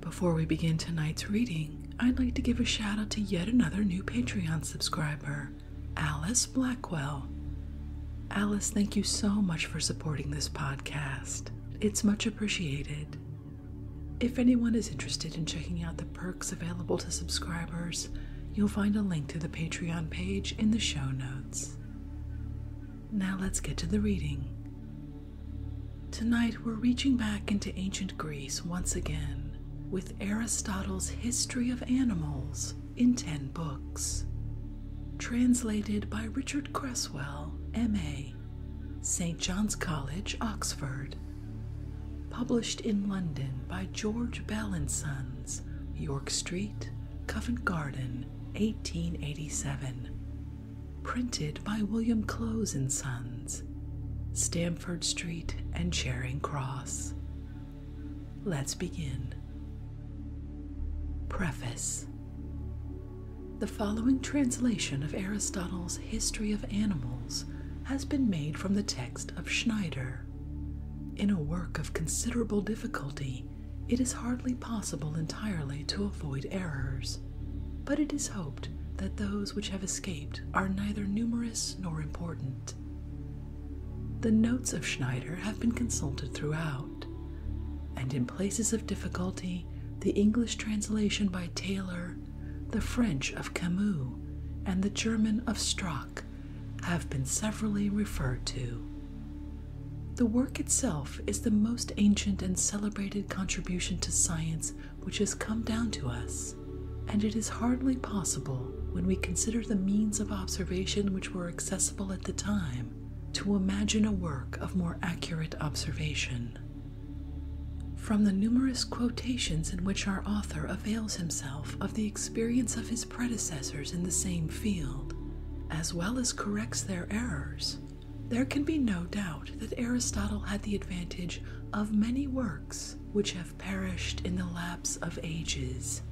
Before we begin tonight's reading, I'd like to give a shout out to yet another new Patreon subscriber, Alice Blackwell. Alice, thank you so much for supporting this podcast. It's much appreciated. If anyone is interested in checking out the perks available to subscribers, you'll find a link to the Patreon page in the show notes. Now let's get to the reading. Tonight we're reaching back into ancient Greece once again with Aristotle's History of Animals in 10 books. Translated by Richard Cresswell, M.A., St. John's College, Oxford. Published in London by George Bell and Sons, York Street, Covent Garden, 1887 printed by William Close and Sons, Stamford Street and Charing Cross. Let's begin. Preface The following translation of Aristotle's History of Animals has been made from the text of Schneider. In a work of considerable difficulty, it is hardly possible entirely to avoid errors. But it is hoped that those which have escaped are neither numerous nor important. The notes of Schneider have been consulted throughout, and in places of difficulty, the English translation by Taylor, the French of Camus, and the German of Strock have been severally referred to. The work itself is the most ancient and celebrated contribution to science which has come down to us, and it is hardly possible, when we consider the means of observation which were accessible at the time, to imagine a work of more accurate observation. From the numerous quotations in which our author avails himself of the experience of his predecessors in the same field, as well as corrects their errors, there can be no doubt that Aristotle had the advantage of many works which have perished in the lapse of ages.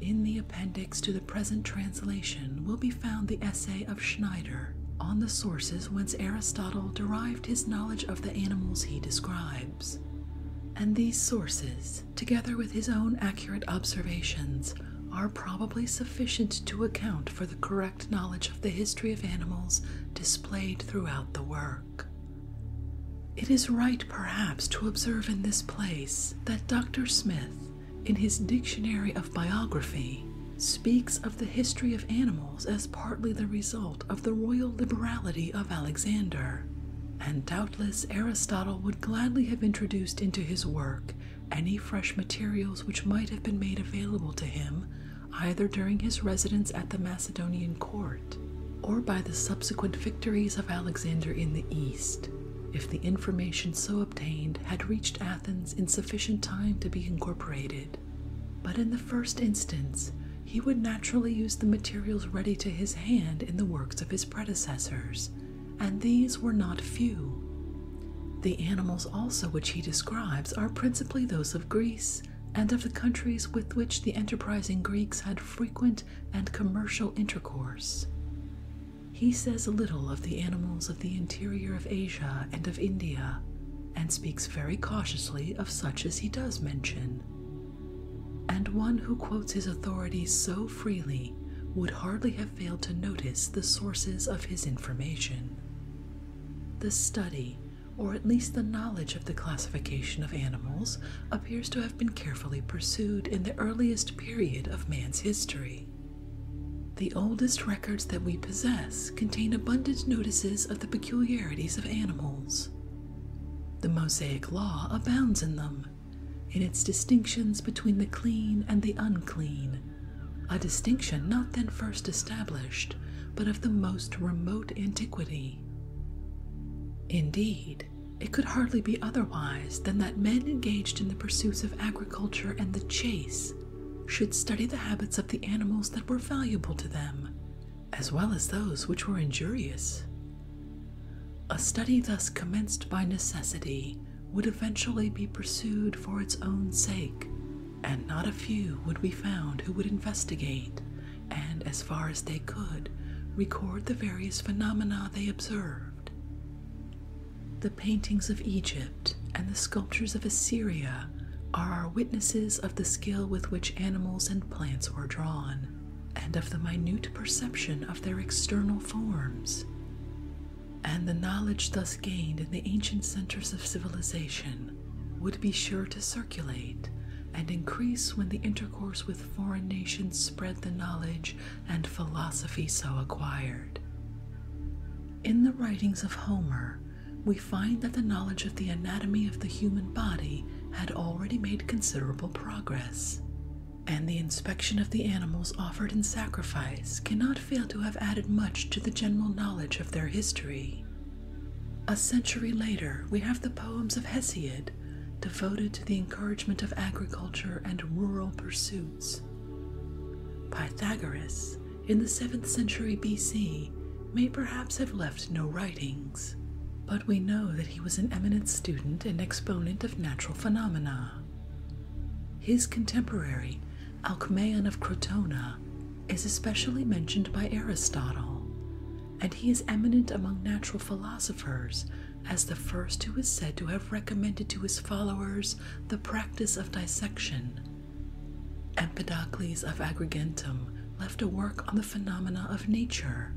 In the appendix to the present translation will be found the essay of Schneider on the sources whence Aristotle derived his knowledge of the animals he describes. And these sources, together with his own accurate observations, are probably sufficient to account for the correct knowledge of the history of animals displayed throughout the work. It is right, perhaps, to observe in this place that Dr. Smith, in his Dictionary of Biography, speaks of the history of animals as partly the result of the royal liberality of Alexander, and doubtless Aristotle would gladly have introduced into his work any fresh materials which might have been made available to him either during his residence at the Macedonian court or by the subsequent victories of Alexander in the East, if the information so obtained had reached Athens in sufficient time to be incorporated. But in the first instance, he would naturally use the materials ready to his hand in the works of his predecessors, and these were not few. The animals also which he describes are principally those of Greece, and of the countries with which the enterprising Greeks had frequent and commercial intercourse. He says little of the animals of the interior of Asia and of India, and speaks very cautiously of such as he does mention. And one who quotes his authority so freely would hardly have failed to notice the sources of his information. The study or at least the knowledge of the classification of animals, appears to have been carefully pursued in the earliest period of man's history. The oldest records that we possess contain abundant notices of the peculiarities of animals. The Mosaic Law abounds in them, in its distinctions between the clean and the unclean, a distinction not then first established, but of the most remote antiquity. Indeed, it could hardly be otherwise than that men engaged in the pursuits of agriculture and the chase should study the habits of the animals that were valuable to them, as well as those which were injurious. A study thus commenced by necessity would eventually be pursued for its own sake and not a few would be found who would investigate and, as far as they could, record the various phenomena they observed. The paintings of Egypt and the sculptures of Assyria are our witnesses of the skill with which animals and plants were drawn, and of the minute perception of their external forms. And the knowledge thus gained in the ancient centers of civilization would be sure to circulate and increase when the intercourse with foreign nations spread the knowledge and philosophy so acquired. In the writings of Homer, we find that the knowledge of the anatomy of the human body had already made considerable progress, and the inspection of the animals offered in sacrifice cannot fail to have added much to the general knowledge of their history. A century later, we have the poems of Hesiod devoted to the encouragement of agriculture and rural pursuits. Pythagoras, in the 7th century BC, may perhaps have left no writings, but we know that he was an eminent student and exponent of natural phenomena. His contemporary, Alcmaeon of Crotona, is especially mentioned by Aristotle, and he is eminent among natural philosophers as the first who is said to have recommended to his followers the practice of dissection. Empedocles of Agrigentum left a work on the phenomena of nature,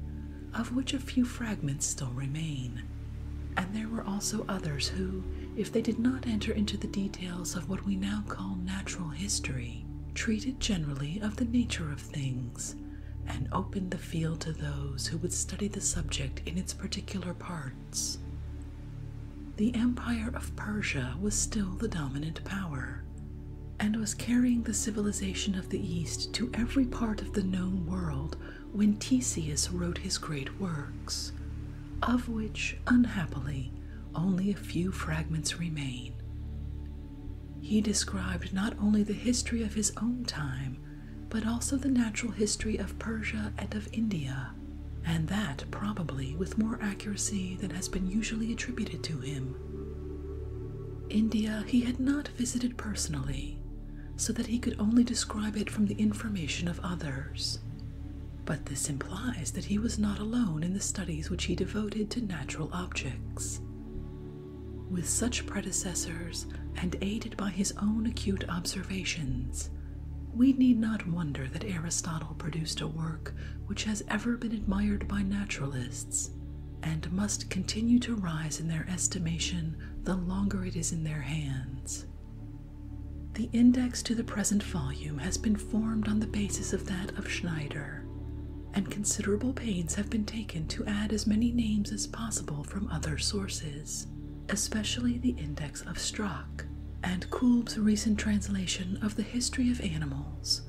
of which a few fragments still remain. And there were also others who, if they did not enter into the details of what we now call natural history, treated generally of the nature of things and opened the field to those who would study the subject in its particular parts. The Empire of Persia was still the dominant power and was carrying the civilization of the East to every part of the known world when Theseus wrote his great works, of which, unhappily, only a few fragments remain. He described not only the history of his own time, but also the natural history of Persia and of India, and that probably with more accuracy than has been usually attributed to him. India he had not visited personally, so that he could only describe it from the information of others. But the implies that he was not alone in the studies which he devoted to natural objects. With such predecessors, and aided by his own acute observations, we need not wonder that Aristotle produced a work which has ever been admired by naturalists, and must continue to rise in their estimation the longer it is in their hands. The index to the present volume has been formed on the basis of that of Schneider, and considerable pains have been taken to add as many names as possible from other sources, especially the Index of Strauch and Kulb's recent translation of the History of Animals,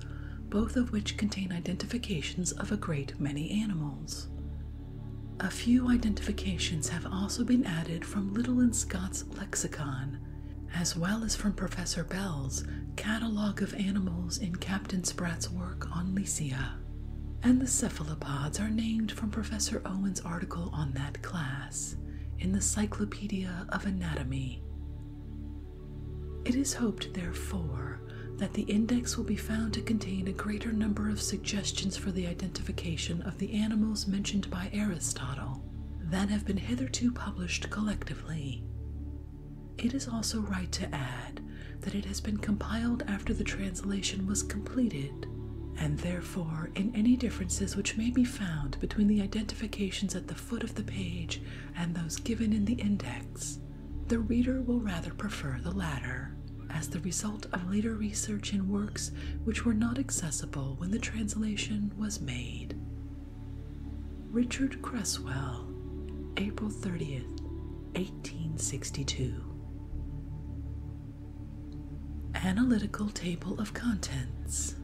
both of which contain identifications of a great many animals. A few identifications have also been added from Little and Scott's lexicon as well as from Professor Bell's Catalogue of Animals in Captain Spratt's work on Lycia. And the cephalopods are named from Professor Owen's article on that class in the Cyclopedia of Anatomy. It is hoped, therefore, that the index will be found to contain a greater number of suggestions for the identification of the animals mentioned by Aristotle than have been hitherto published collectively. It is also right to add that it has been compiled after the translation was completed, and therefore, in any differences which may be found between the identifications at the foot of the page and those given in the index, the reader will rather prefer the latter, as the result of later research in works which were not accessible when the translation was made. Richard Cresswell, April 30th, 1862. Analytical Table of Contents.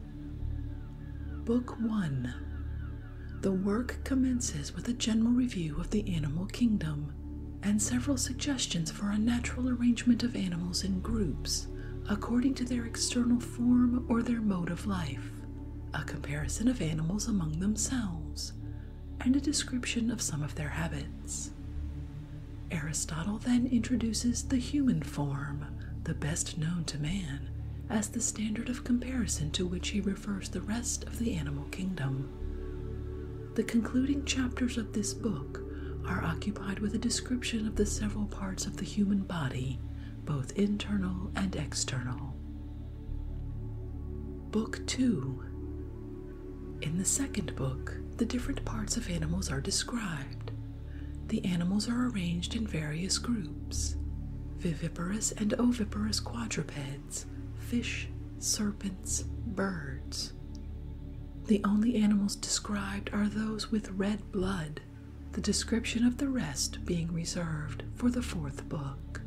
Book 1. The work commences with a general review of the animal kingdom and several suggestions for a natural arrangement of animals in groups according to their external form or their mode of life a comparison of animals among themselves, and a description of some of their habits. Aristotle then introduces the human form, the best known to man, as the standard of comparison to which he refers the rest of the animal kingdom. The concluding chapters of this book are occupied with a description of the several parts of the human body both internal and external. Book 2 In the second book, the different parts of animals are described. The animals are arranged in various groups viviparous and oviparous quadrupeds, fish, serpents, birds. The only animals described are those with red blood, the description of the rest being reserved for the fourth book.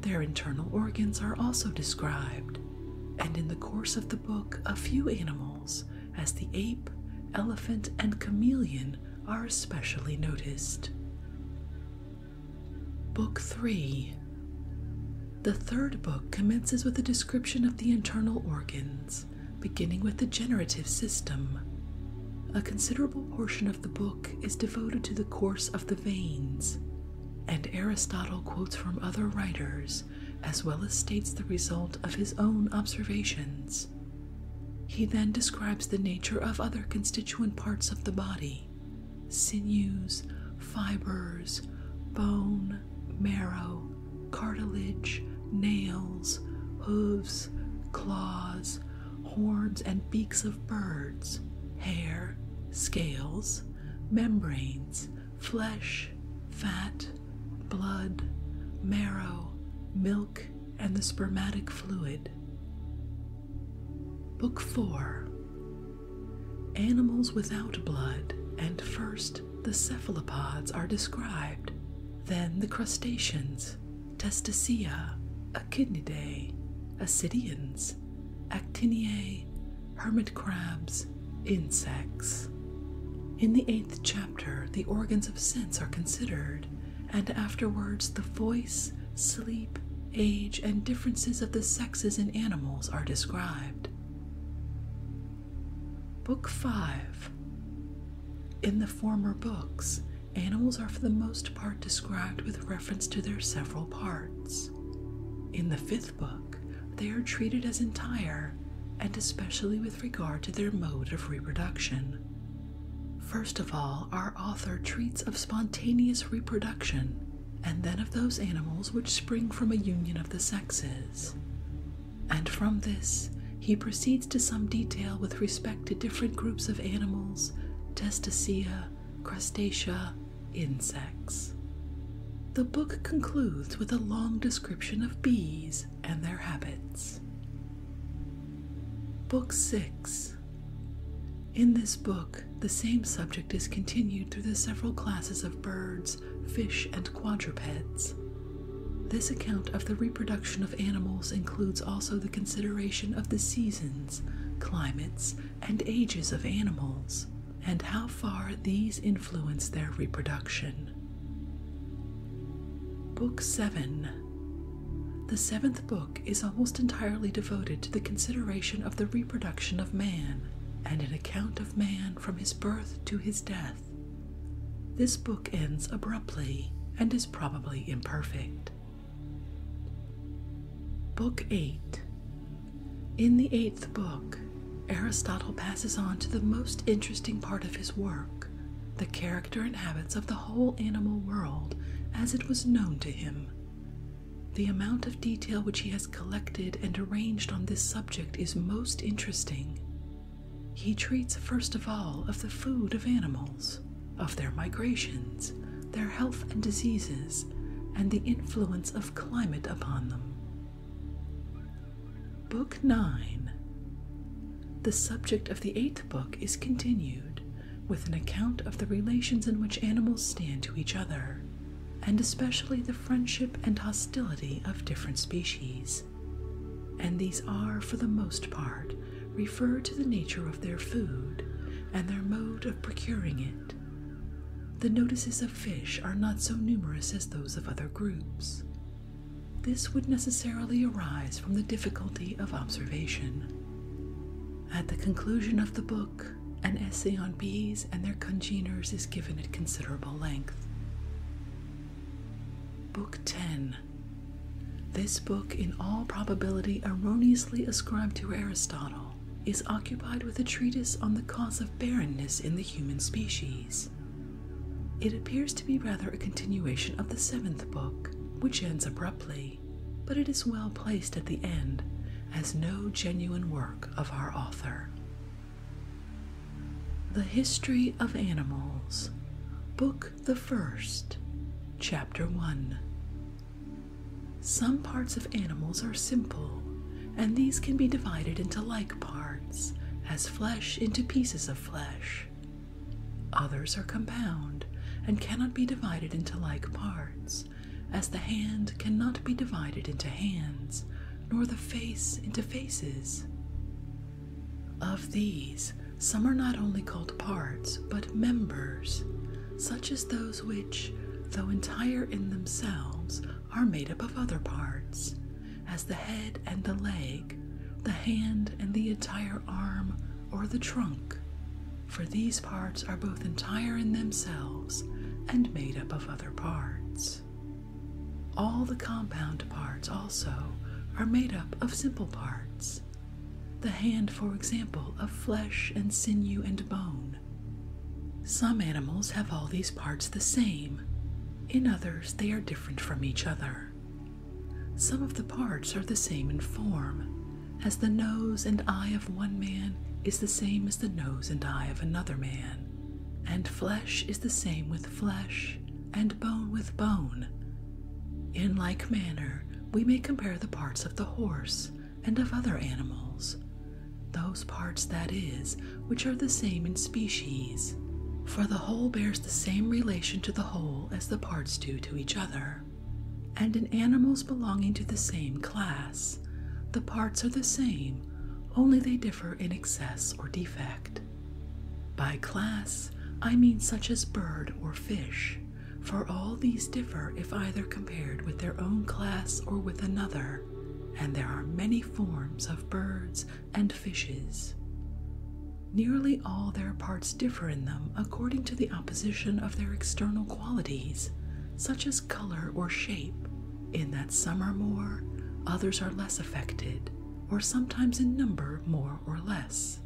Their internal organs are also described, and in the course of the book, a few animals, as the ape, elephant, and chameleon, are especially noticed. Book 3 The third book commences with a description of the internal organs, beginning with the generative system. A considerable portion of the book is devoted to the course of the veins, and Aristotle quotes from other writers as well as states the result of his own observations. He then describes the nature of other constituent parts of the body sinews, fibers, bone, marrow, cartilage, nails, hoofs, claws, horns and beaks of birds, hair, scales, membranes, flesh, fat, blood, marrow, milk, and the spermatic fluid. Book 4 Animals without blood, and first the cephalopods are described, then the crustaceans, Testacea, Echidnidae, Ascidians, Actiniae, hermit crabs, insects. In the eighth chapter, the organs of sense are considered, and afterwards the voice, sleep, age, and differences of the sexes in animals are described. Book 5 In the former books, Animals are for the most part described with reference to their several parts. In the fifth book, they are treated as entire, and especially with regard to their mode of reproduction. First of all, our author treats of spontaneous reproduction, and then of those animals which spring from a union of the sexes. And from this, he proceeds to some detail with respect to different groups of animals, testacea, crustacea, insects. The book concludes with a long description of bees and their habits. Book 6 In this book, the same subject is continued through the several classes of birds, fish, and quadrupeds. This account of the reproduction of animals includes also the consideration of the seasons seasons, climates, and ages of animals, and how far these influence their reproduction. Book 7 The seventh book is almost entirely devoted to the consideration of the reproduction of man and an account of man from his birth to his death. This book ends abruptly and is probably imperfect. Book 8. In the eighth book, Aristotle passes on to the most interesting part of his work the character and habits of the whole animal world as it was known to him. The amount of detail which he has collected and arranged on this subject is most interesting. He treats, first of all, of the food of animals of their migrations, their health and diseases, and the influence of climate upon them. Book 9. The subject of the eighth book is continued with an account of the relations in which animals stand to each other, and especially the friendship and hostility of different species. And these are, for the most part, refer to the nature of their food and their mode of procuring it. The notices of fish are not so numerous as those of other groups. This would necessarily arise from the difficulty of observation. At the conclusion of the book, an essay on bees and their congeners is given at considerable length. Book 10 this book, in all probability erroneously ascribed to Aristotle, is occupied with a treatise on the cause of barrenness in the human species. It appears to be rather a continuation of the seventh book, which ends abruptly, but it is well placed at the end as no genuine work of our author. The History of Animals, Book the First, Chapter 1. Some parts of animals are simple, and these can be divided into like parts, as flesh into pieces of flesh. Others are compound and cannot be divided into like parts, as the hand cannot be divided into hands, nor the face into faces. Of these, some are not only called parts, but members, such as those which, though entire in themselves, are made up of other parts, as the head and the leg, the hand and the entire arm, or the trunk. For these parts are both entire in themselves and made up of other parts. All the compound parts also are made up of simple parts, the hand, for example, of flesh and sinew and bone. Some animals have all these parts the same, in others, they are different from each other. Some of the parts are the same in form, as the nose and eye of one man is the same as the nose and eye of another man, and flesh is the same with flesh, and bone with bone. In like manner, we may compare the parts of the horse and of other animals, those parts, that is, which are the same in species. For the whole bears the same relation to the whole as the parts do to each other. And in animals belonging to the same class, the parts are the same, only they differ in excess or defect. By class, I mean such as bird or fish, for all these differ if either compared with their own class or with another, and there are many forms of birds and fishes. Nearly all their parts differ in them according to the opposition of their external qualities, such as color or shape, in that some are more, others are less affected, or sometimes in number more or less,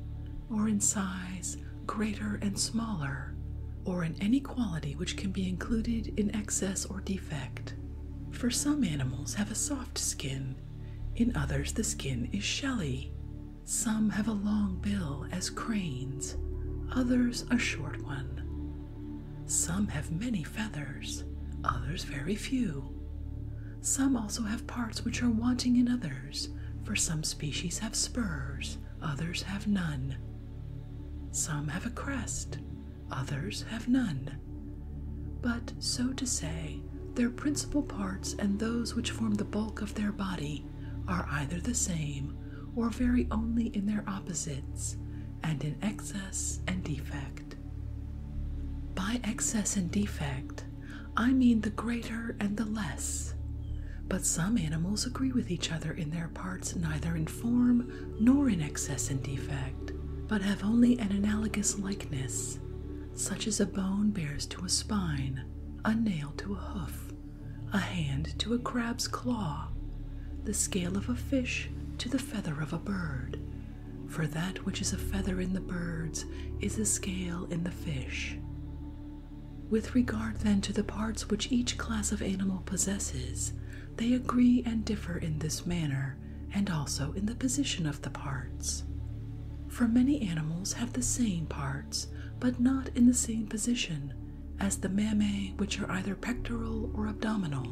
or in size greater and smaller, or in any quality which can be included in excess or defect. For some animals have a soft skin, in others the skin is shelly. Some have a long bill, as cranes, others a short one. Some have many feathers, others very few. Some also have parts which are wanting in others, for some species have spurs, others have none. Some have a crest, others have none. But, so to say, their principal parts and those which form the bulk of their body are either the same or vary only in their opposites and in excess and defect. By excess and defect, I mean the greater and the less. But some animals agree with each other in their parts neither in form nor in excess and defect, but have only an analogous likeness, such as a bone bears to a spine, a nail to a hoof, a hand to a crab's claw, the scale of a fish to the feather of a bird. For that which is a feather in the birds is a scale in the fish. With regard then to the parts which each class of animal possesses, they agree and differ in this manner, and also in the position of the parts. For many animals have the same parts, but not in the same position, as the mammae, which are either pectoral or abdominal.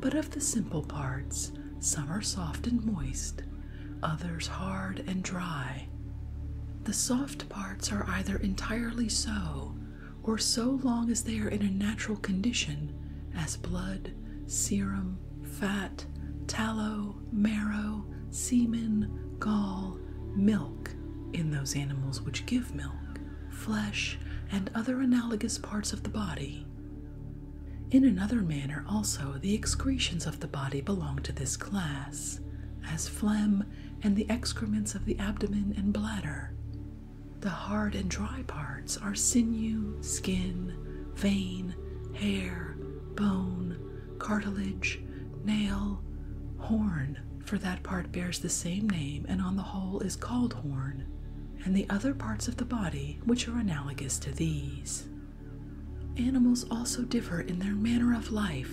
But of the simple parts, some are soft and moist, others hard and dry. The soft parts are either entirely so or so long as they are in a natural condition, as blood, serum, fat, tallow, marrow, semen, gall, milk in those animals which give milk, flesh, and other analogous parts of the body. In another manner, also, the excretions of the body belong to this class, as phlegm and the excrements of the abdomen and bladder. The hard and dry parts are sinew, skin, vein, hair, bone, cartilage, nail, horn, for that part bears the same name and on the whole is called horn, and the other parts of the body which are analogous to these. Animals also differ in their manner of life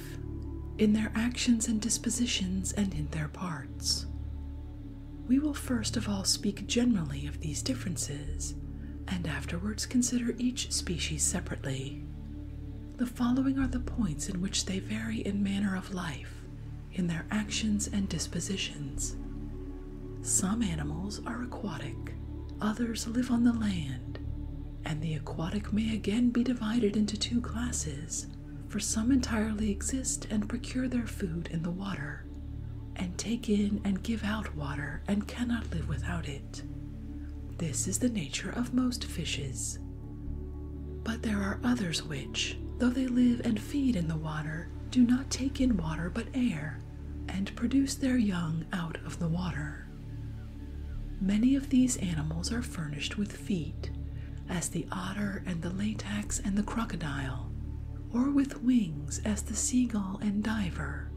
in their actions and dispositions, and in their parts. We will first of all speak generally of these differences, and afterwards consider each species separately. The following are the points in which they vary in manner of life, in their actions and dispositions. Some animals are aquatic, others live on the land, and the aquatic may again be divided into two classes, for some entirely exist and procure their food in the water, and take in and give out water and cannot live without it. This is the nature of most fishes. But there are others which, though they live and feed in the water, do not take in water but air, and produce their young out of the water. Many of these animals are furnished with feet, as the otter and the latex and the crocodile, or with wings, as the seagull and diver,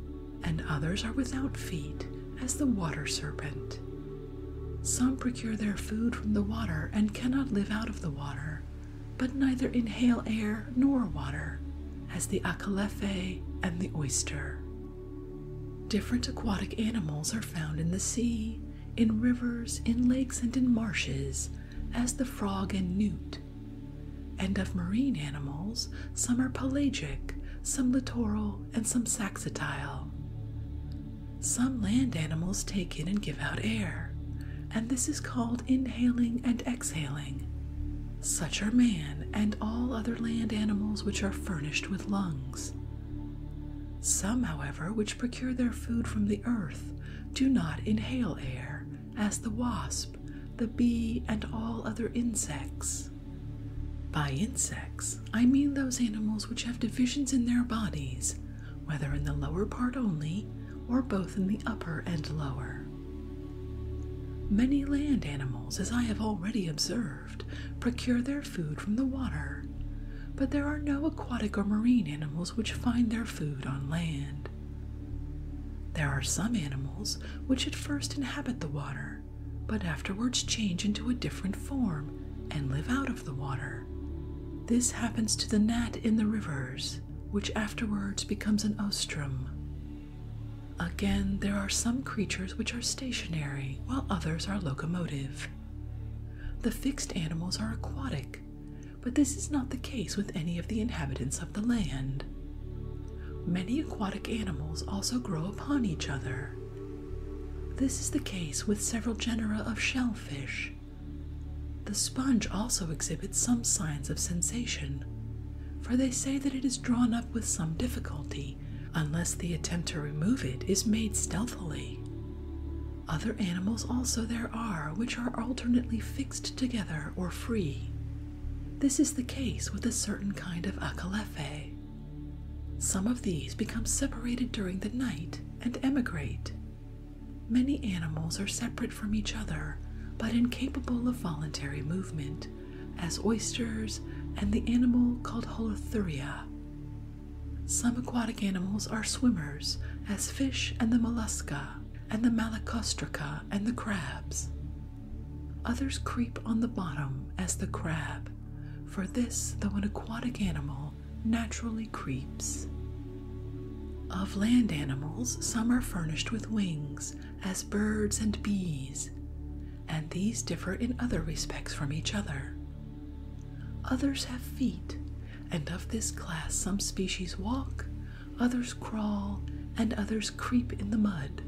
and others are without feet, as the water serpent. Some procure their food from the water and cannot live out of the water, but neither inhale air nor water, as the acalephae and the oyster. Different aquatic animals are found in the sea, in rivers, in lakes, and in marshes, as the frog and newt. And of marine animals, some are pelagic, some littoral, and some saxitile. Some land animals take in and give out air, and this is called inhaling and exhaling. Such are man and all other land animals which are furnished with lungs. Some, however, which procure their food from the earth, do not inhale air, as the wasp, the bee, and all other insects. By insects, I mean those animals which have divisions in their bodies, whether in the lower part only, or both in the upper and lower. Many land animals, as I have already observed, procure their food from the water, but there are no aquatic or marine animals which find their food on land. There are some animals which at first inhabit the water, but afterwards change into a different form and live out of the water. This happens to the gnat in the rivers, which afterwards becomes an ostrum. Again, there are some creatures which are stationary, while others are locomotive. The fixed animals are aquatic, but this is not the case with any of the inhabitants of the land. Many aquatic animals also grow upon each other. This is the case with several genera of shellfish. The sponge also exhibits some signs of sensation, for they say that it is drawn up with some difficulty unless the attempt to remove it is made stealthily. Other animals also there are which are alternately fixed together or free. This is the case with a certain kind of akalefe. Some of these become separated during the night and emigrate. Many animals are separate from each other but incapable of voluntary movement, as oysters and the animal called holothuria. Some aquatic animals are swimmers, as fish and the mollusca, and the malacostraca and the crabs. Others creep on the bottom as the crab, for this, though an aquatic animal, naturally creeps. Of land animals, some are furnished with wings, as birds and bees, and these differ in other respects from each other, Others have feet, and of this class some species walk, others crawl, and others creep in the mud.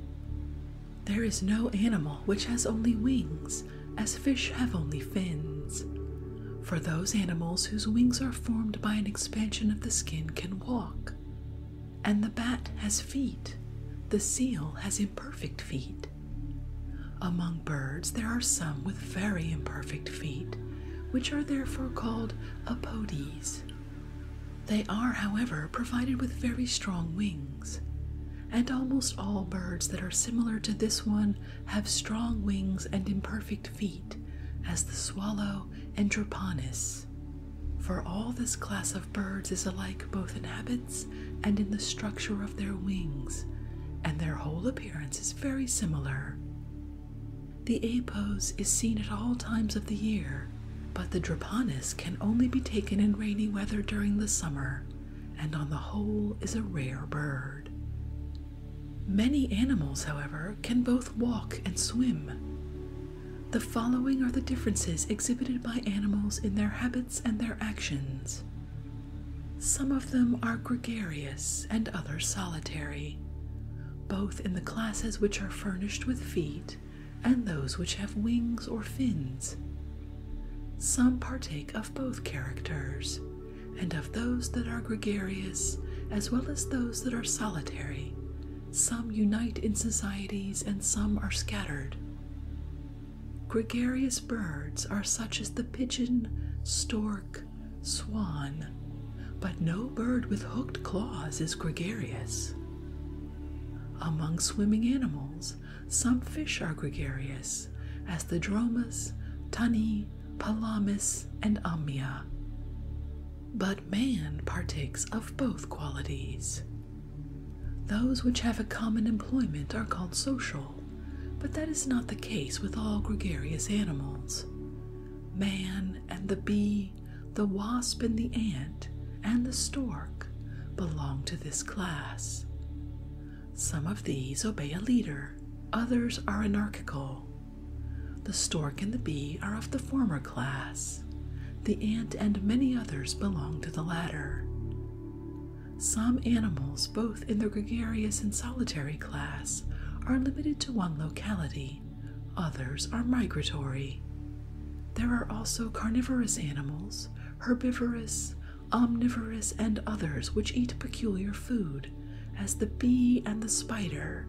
There is no animal which has only wings, as fish have only fins. For those animals whose wings are formed by an expansion of the skin can walk. And the bat has feet, the seal has Perfect feet. Among birds, there are some with very imperfect feet, which are therefore called apodes. They are, however, provided with very strong wings, and almost all birds that are similar to this one have strong wings and imperfect feet, as the swallow and draponis. For all this class of birds is alike both in habit and in the structure of their wings, and their whole appearance is very similar. The apos is seen at all times of the year, but the draponis can only be taken in rainy weather during the summer, and on the whole is a rare bird. Many animals, however, can both walk and swim. The following are the differences exhibited by animals in their habits and their actions. Some of them are gregarious and others solitary, both in the classes which are furnished with feet and those which have wings or fins. Some partake of both characters, and of those that are gregarious as well as those that are solitary. Some unite in societies and some are scattered. Gregarious birds are such as the pigeon, stork, swan, but no bird with hooked claws is gregarious. Among swimming animals, some fish are gregarious, as the dromas, tunny, palamis, and amia. But man partakes of both qualities. Those which have a common employment are called social, but that is not the case with all gregarious animals. Man and the bee, the wasp and the ant, and the stork belong to this class. Some of these obey a leader, others are anarchical. The stork and the bee are of the former class. The ant and many others belong to the latter. Some animals, both in the gregarious and solitary class, are limited to one locality, others are migratory. There are also carnivorous animals, herbivorous, omnivorous, and others which eat peculiar food, as the bee and the spider.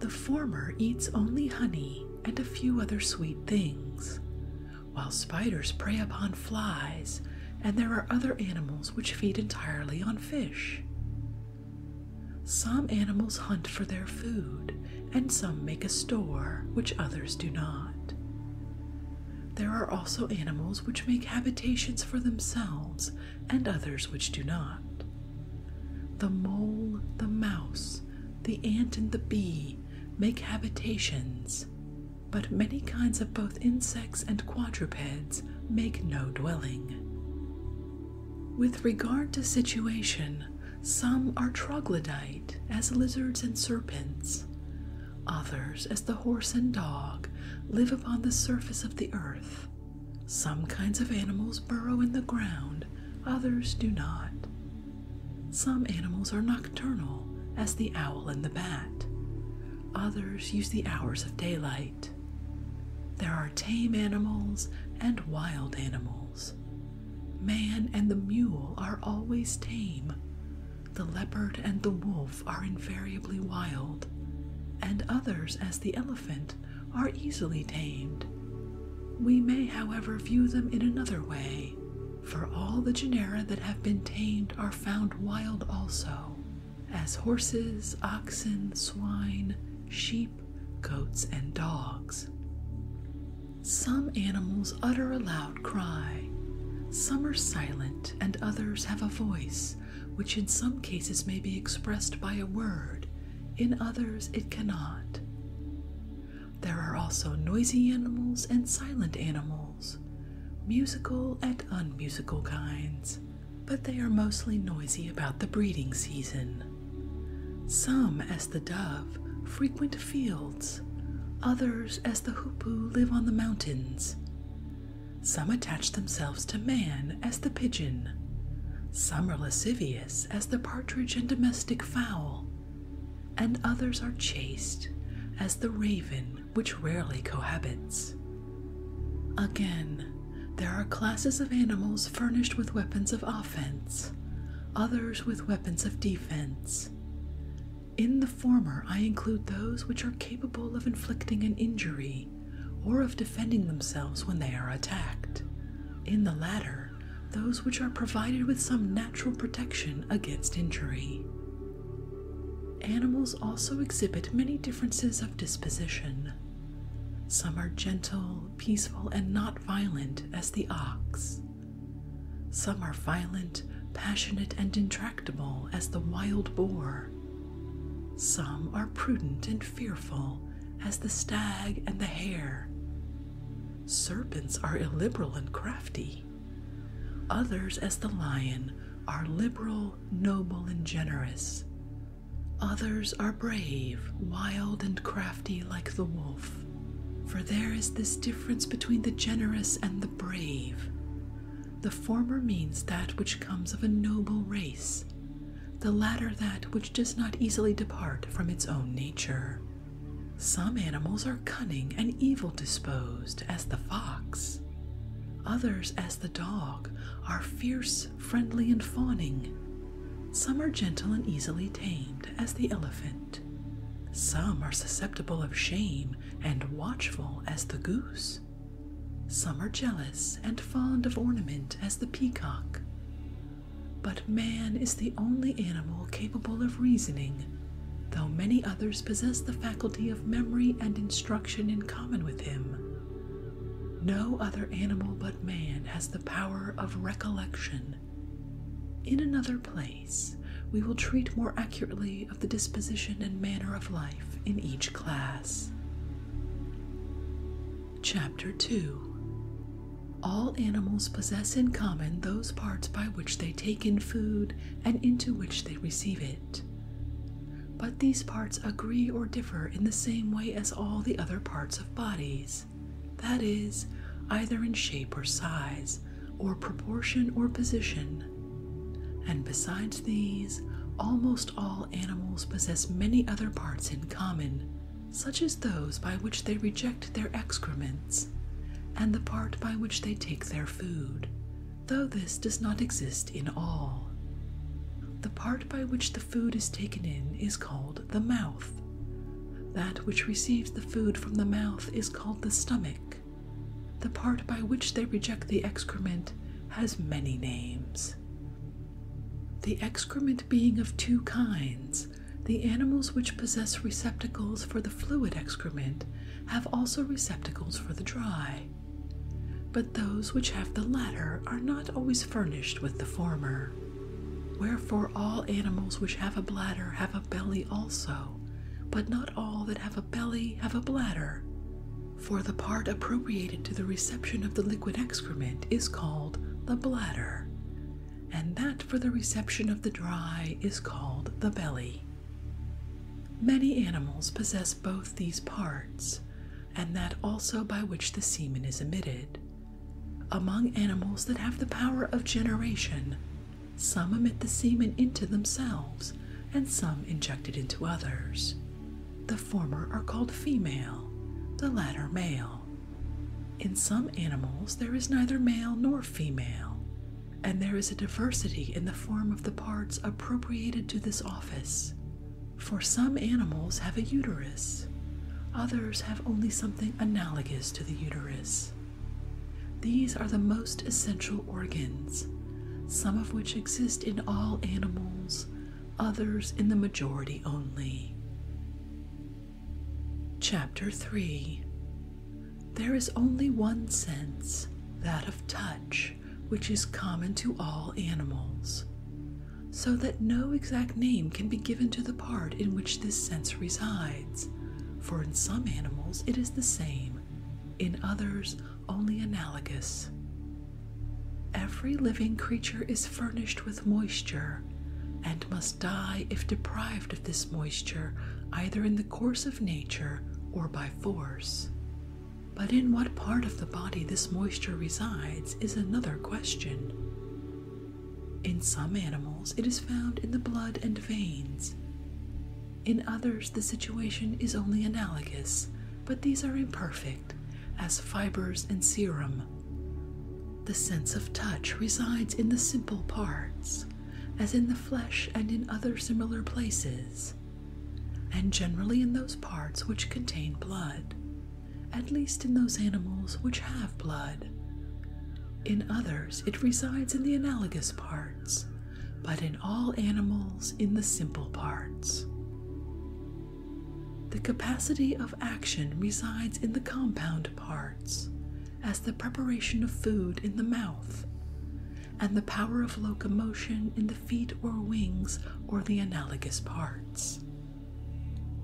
The former eats only honey and a few other sweet things, while spiders prey upon flies, and there are other animals which feed entirely on fish. Some animals hunt for their food, and some make a store, which others do not. There are also animals which make habitations for themselves, and others which do not. The mole, the mouse, the ant, and the bee make habitations, but many kinds of both insects and quadrupeds make no dwelling. With regard to situation, some are troglodyte, as lizards and serpents. Others, as the horse and dog, live upon the surface of the earth. Some kinds of animals burrow in the ground, others do not. Some animals are nocturnal, as the owl and the bat. Others use the hours of daylight. There are tame animals and wild animals. Man and the mule are always tame. The leopard and the wolf are invariably wild, and others, as the elephant, are easily tamed. We may, however, view them in another way, for all the genera that have been tamed are found wild also, as horses, oxen, swine, sheep, goats, and dogs. Some animals utter a loud cry, some are silent, and others have a voice, which in some cases may be expressed by a word, in others it cannot. There are also noisy animals and silent animals musical and unmusical kinds, but they are mostly noisy about the breeding season. Some, as the dove, frequent fields, others, as the hoopoe, live on the mountains. Some attach themselves to man, as the pigeon. Some are lascivious, as the partridge and domestic fowl, and others are chaste, as the raven which rarely cohabits. Again, there are classes of animals furnished with weapons of offense, others with weapons of defense. In the former, I include those which are capable of inflicting an injury or of defending themselves when they are attacked. In the latter, those which are provided with some natural protection against injury. Animals also exhibit many differences of disposition. Some are gentle, peaceful, and not violent, as the ox. Some are violent, passionate, and intractable, as the wild boar. Some are prudent and fearful, as the stag and the hare. Serpents are illiberal and crafty. Others, as the lion, are liberal noble and generous. Others are brave, wild, and crafty like the wolf. For there is this difference between the generous and the brave. The former means that which comes of a noble race, the latter that which does not easily depart from its own nature. Some animals are cunning and evil disposed, as the fox. Others, as the dog, are fierce, friendly, and fawning. Some are gentle and easily tamed, as the elephant. Some are susceptible of shame and watchful, as the goose. Some are jealous and fond of ornament, as the peacock. But man is the only animal capable of reasoning, though many others possess the faculty of memory and instruction in common with him. No other animal but man has the power of recollection. In another place, we will treat more accurately of the disposition and manner of life in each class. Chapter 2 all animals possess in common those parts by which they take in food and into which they receive it. But these parts agree or differ in the same way as all the other parts of bodies that is, either in shape or size, or proportion or position. And besides these, almost all animals possess many other parts in common, such as those by which they reject their excrements, and the part by which they take their food, though this does not exist in all. The part by which the food is taken in is called the mouth. That which receives the food from the mouth is called the stomach. The part by which they reject the excrement has many names. The excrement being of two kinds, the animals which possess receptacles for the fluid excrement have also receptacles for the dry, but those which have the latter are not always furnished with the former. Wherefore, all animals which have a bladder have a belly also, but not all that have a belly have a bladder. For the part appropriated to the reception of the liquid excrement is called the bladder, and that for the reception of the dry is called the belly. Many animals possess both these parts, and that also by which the semen is emitted. Among animals that have the power of generation, some emit the semen into themselves, and some inject it into others. The former are called female, the latter male. In some animals, there is neither male nor female, and there is a diversity in the form of the parts appropriated to this office. For some animals have a uterus, others have only something analogous to the uterus. These are the most essential organs, some of which exist in all animals, others in the majority only. Chapter 3 There is only one sense, that of touch, which is common to all animals, so that no exact name can be given to the part in which this sense resides, for in some animals it is the same, in others only analogous. Every living creature is furnished with moisture and must die if deprived of this moisture either in the course of nature or by force. But in what part of the body this moisture resides is another question. In some animals, it is found in the blood and veins. In others, the situation is only analogous, but these are imperfect, as fibers and serum. The sense of touch resides in the simple parts, as in the flesh and in other similar places and generally in those parts which contain blood, at least in those animals which have blood. In others, it resides in the analogous parts, but in all animals, in the simple parts. The capacity of action resides in the compound parts, as the preparation of food in the mouth, and the power of locomotion in the feet or wings or the analogous parts.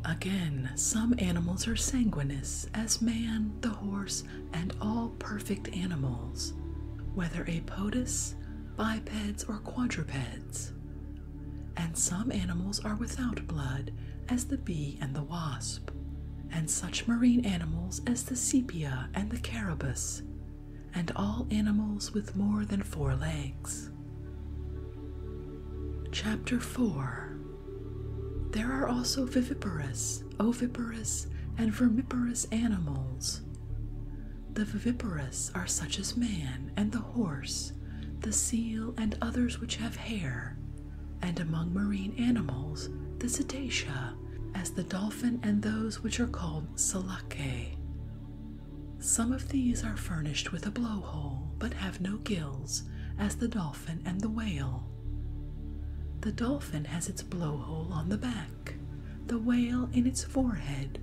Again, some animals are sanguineous, as man, the horse, and all perfect animals, whether apodous, bipeds, or quadrupeds. And some animals are without blood, as the bee and the wasp, and such marine animals as the sepia and the carabus, and all animals with more than four legs. Chapter 4 There are also viviparous, oviparous, and vermiparous animals. The viviparous are such as man and the horse, the seal, and others which have hair, and among marine animals, the cetacea, as the dolphin and those which are called selacae. Some of these are furnished with a blowhole but have no gills, as the dolphin and the whale. The dolphin has its blowhole on the back, the whale in its forehead.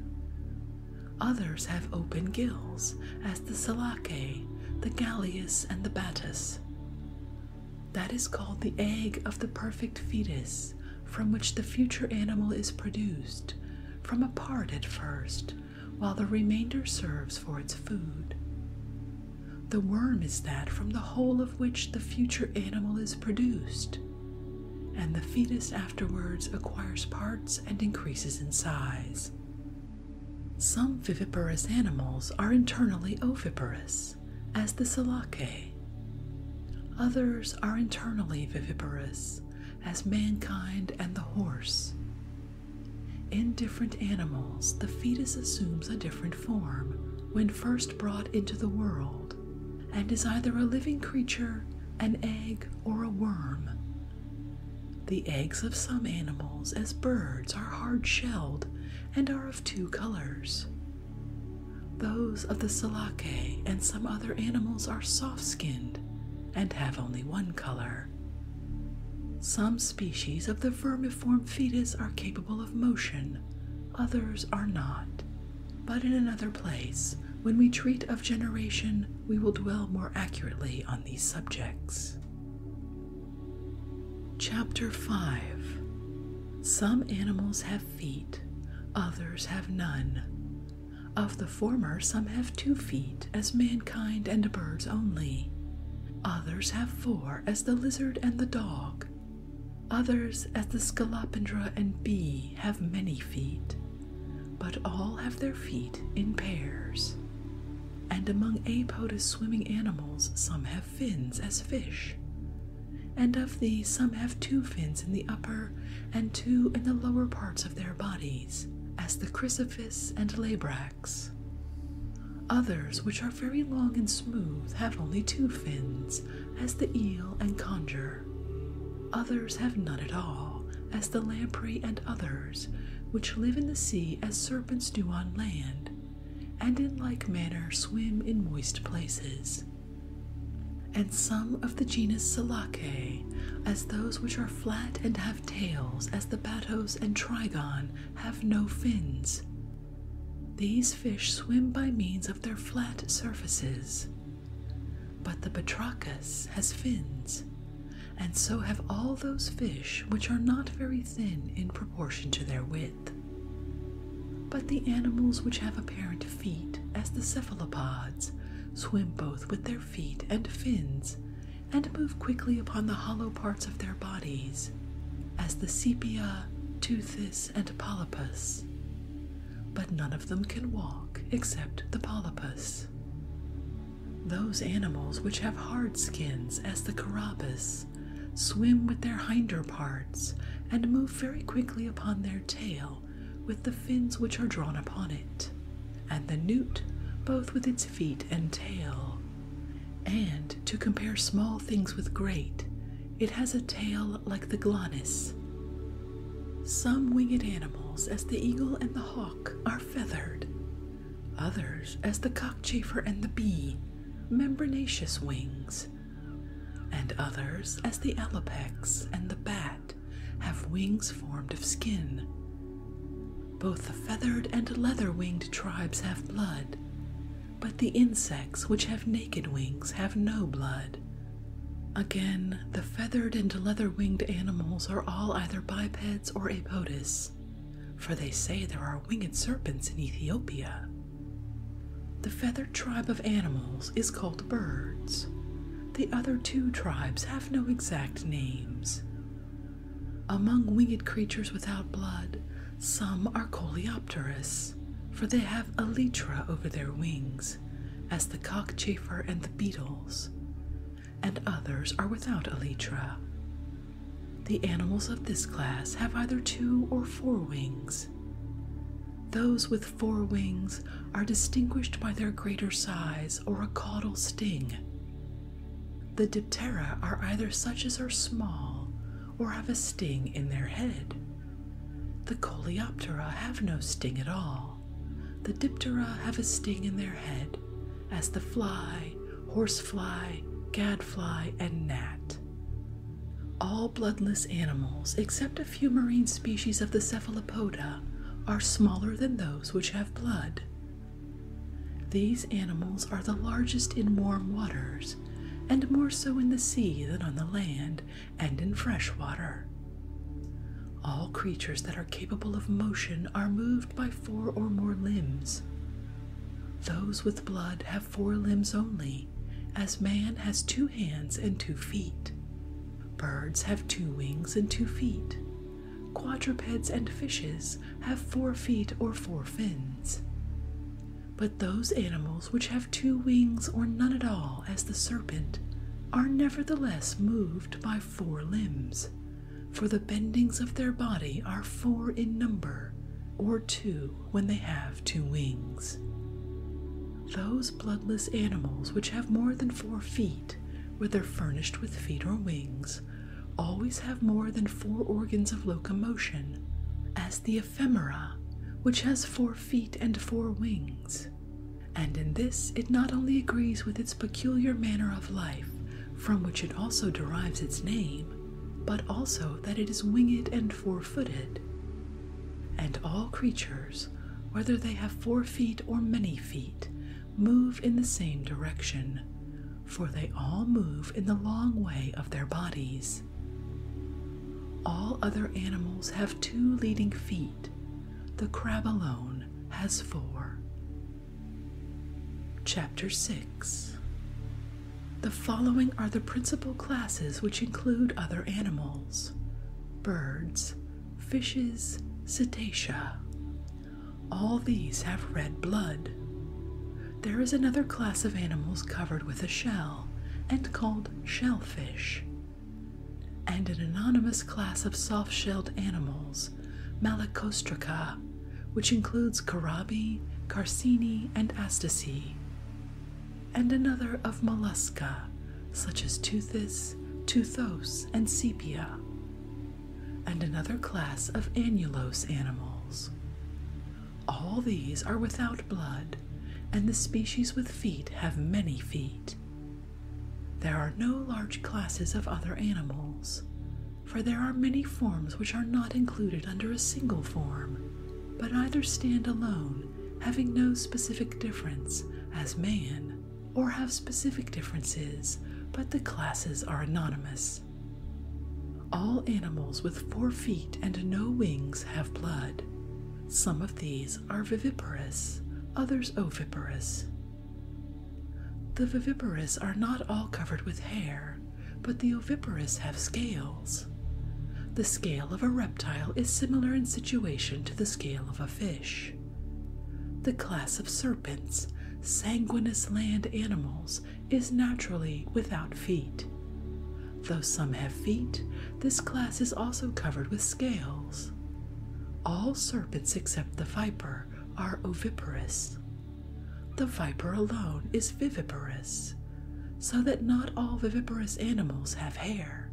Others have open gills, as the salake, the galleus, and the batis. That is called the egg of the perfect fetus, from which the future animal is produced, from a part at first, while the remainder serves for its food. The worm is that from the whole of which the future animal is produced, and the fetus afterwards acquires parts and increases in size. Some viviparous animals are internally oviparous, as the Selacae. Others are internally viviparous, as mankind and the horse. In different animals, the fetus assumes a different form when first brought into the world and is either a living creature, an egg, or a worm. The eggs of some animals, as birds, are hard shelled and are of two colors. Those of the salake and some other animals are soft skinned and have only one color. Some species of the vermiform fetus are capable of motion, others are not. But in another place, when we treat of generation, we will dwell more accurately on these subjects. Chapter 5 Some animals have feet, others have none, of the former, some have two feet, as mankind and birds only. Others have four, as the lizard and the dog. Others, as the scolopendra and bee, have many feet, but all have their feet in pairs. And among apodous swimming animals, some have fins as fish. And of these, some have two fins in the upper and two in the lower parts of their bodies, as the chrysophis and labrax. Others, which are very long and smooth, have only two fins, as the eel and conger. Others have none at all, as the lamprey and others, which live in the sea as serpents do on land, and in like manner swim in moist places and some of the genus Selacae, as those which are flat and have tails, as the batos and trigon have no fins. These fish swim by means of their flat surfaces. But the Batrachus has fins, and so have all those fish which are not very thin in proportion to their width. But the animals which have apparent feet, as the cephalopods, swim both with their feet and fins, and move quickly upon the hollow parts of their bodies, as the sepia, teuthis, and polypus. But none of them can walk except the polypus. Those animals which have hard skins, as the carabus, swim with their hinder parts and move very quickly upon their tail with the fins which are drawn upon it, and the newt, both with its feet and tail. And to compare small things with great, it has a tail like the glonnis. Some winged animals, as the eagle and the hawk, are feathered, others, as the cockchafer and the bee, membranaceous wings, and others, as the alapex and the bat, have wings formed of skin. Both the feathered and leather winged tribes have blood, but the insects which have naked wings have no blood. Again, the feathered and leather winged animals are all either bipeds or apodous, for they say there are winged serpents in Ethiopia. The feathered tribe of animals is called birds, the other two tribes have no exact names. Among winged creatures without blood, some are coleopterous, for they have elytra over their wings, as the cockchafer and the beetles, and others are without elytra. The animals of this class have either two or four wings. Those with four wings are distinguished by their greater size or a caudal sting. The diptera are either such as are small or have a sting in their head. The coleoptera have no sting at all. The diptera have a sting in their head, as the fly, horsefly, gadfly, and gnat. All bloodless animals, except a few marine species of the cephalopoda are smaller than those which have blood. These animals are the largest in warm waters, and more so in the sea than on the land and in fresh water. All creatures that are capable of motion are moved by four or more limbs. Those with blood have four limbs only, as man has two hands and two feet. Birds have two wings and two feet. Quadrupeds and fishes have four feet or four fins. But those animals which have two wings or none at all, as the serpent, are nevertheless moved by four limbs, for the bendings of their body are four in number, or two when they have two wings. Those bloodless animals which have more than four feet whether furnished with feet or wings, always have more than four organs of locomotion, as the ephemera, which has four feet and four wings. And in this it not only agrees with its peculiar manner of life, from which it also derives its name, but also that it is winged and four footed. And all creatures, whether they have four feet or many feet, move in the same direction, for they all move in the long way of their bodies. All other animals have two leading feet, the crab alone has four. Chapter 6 The following are the principal classes which include other animals birds, fishes, cetacea. All these have red blood. There is another class of animals covered with a shell and called shellfish, and an anonymous class of soft shelled animals, Malacostraca, which includes carabi, carcini, and astaci, and another of mollusca, such as toothis, Teuthos, and Sepia, and another class of annulose animals. All these are without blood, and the species with feet have many feet. There are no large classes of other animals, for there are many forms which are not included under a single form, but either stand alone, having no specific difference, as man, or have specific differences, but the classes are anonymous. All animals with four feet and no wings have blood. Some of these are viviparous, others oviparous. The viviparous are not all covered with hair, but the oviparous have scales. The scale of a reptile is similar in situation to the scale of a fish. The class of serpents, sanguineous land animals, is naturally without feet. Though some have feet, this class is also covered with scales. All serpents except the viper are oviparous. The viper alone is viviparous, so that not all viviparous animals have hair,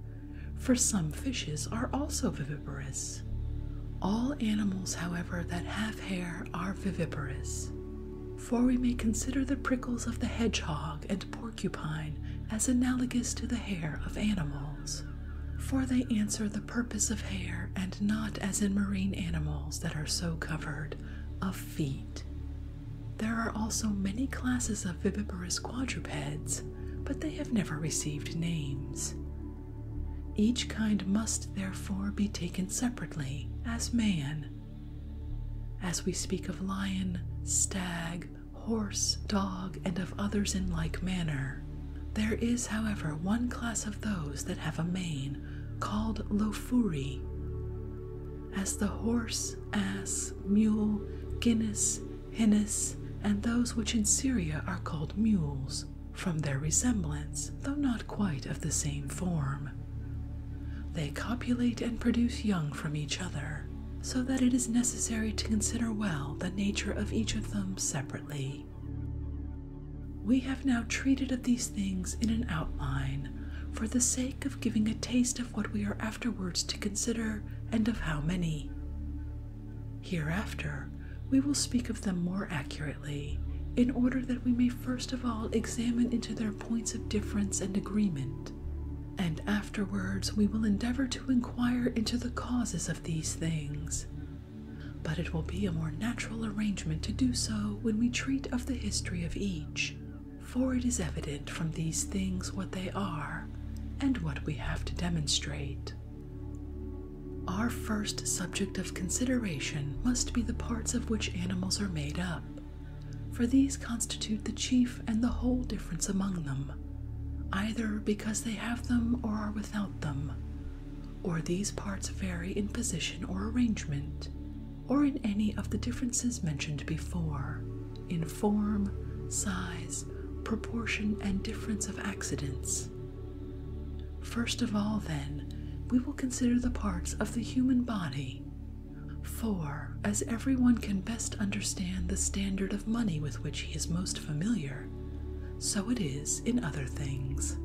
for some fishes are also viviparous. All animals, however, that have hair are viviparous, for we may consider the prickles of the hedgehog and porcupine as analogous to the hair of animals, for they answer the purpose of hair and not as in marine animals that are so covered, of feet. There are also many classes of viviparous quadrupeds, but they have never received names. Each kind must therefore be taken separately as man. As we speak of lion, stag, horse, dog, and of others in like manner, there is, however, one class of those that have a mane called lofuri. As the horse, ass, mule, guinness, Hinnis, and those which in Syria are called mules, from their resemblance, though not quite of the same form. They copulate and produce young from each other, so that it is necessary to consider well the nature of each of them separately. We have now treated of these things in an outline for the sake of giving a taste of what we are afterwards to consider and of how many. Hereafter, we will speak of them more accurately, in order that we may first of all examine into their points of difference and agreement, and afterwards we will endeavor to inquire into the causes of these things. But it will be a more natural arrangement to do so when we treat of the history of each, for it is evident from these things what they are and what we have to demonstrate. Our first subject of consideration must be the parts of which animals are made up, for these constitute the chief and the whole difference among them, either because they have them or are without them, or these parts vary in position or arrangement, or in any of the differences mentioned before, in form, size, proportion, and difference of accidents. First of all, then, we will consider the parts of the human body. For, as everyone can best understand the standard of money with which he is most familiar, so it is in other things.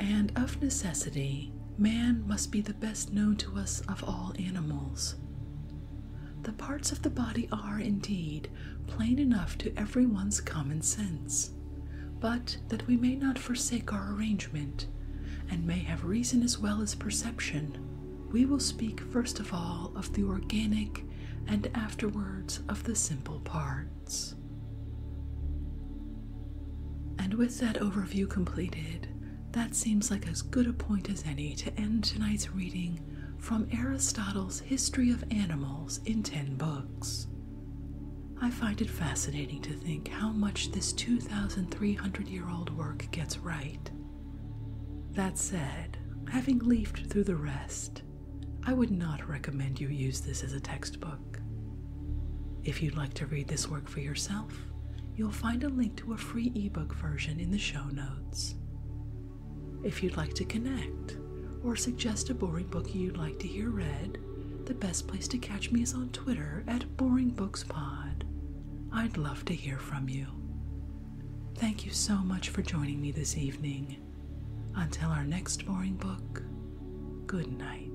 And of necessity, man must be the best known to us of all animals. The parts of the body are, indeed, plain enough to everyone's common sense, but that we may not forsake our arrangement, and may have reason as well as perception, we will speak first of all of the organic and afterwards of the simple parts. And with that overview completed, that seems like as good a point as any to end tonight's reading from Aristotle's History of Animals in 10 books. I find it fascinating to think how much this 2,300 year old work gets right. That said, having leafed through the rest, I would not recommend you use this as a textbook. If you'd like to read this work for yourself, you'll find a link to a free ebook version in the show notes. If you'd like to connect or suggest a boring book you'd like to hear read, the best place to catch me is on Twitter at BoringBooksPod. I'd love to hear from you. Thank you so much for joining me this evening. Until our next boring book, good night.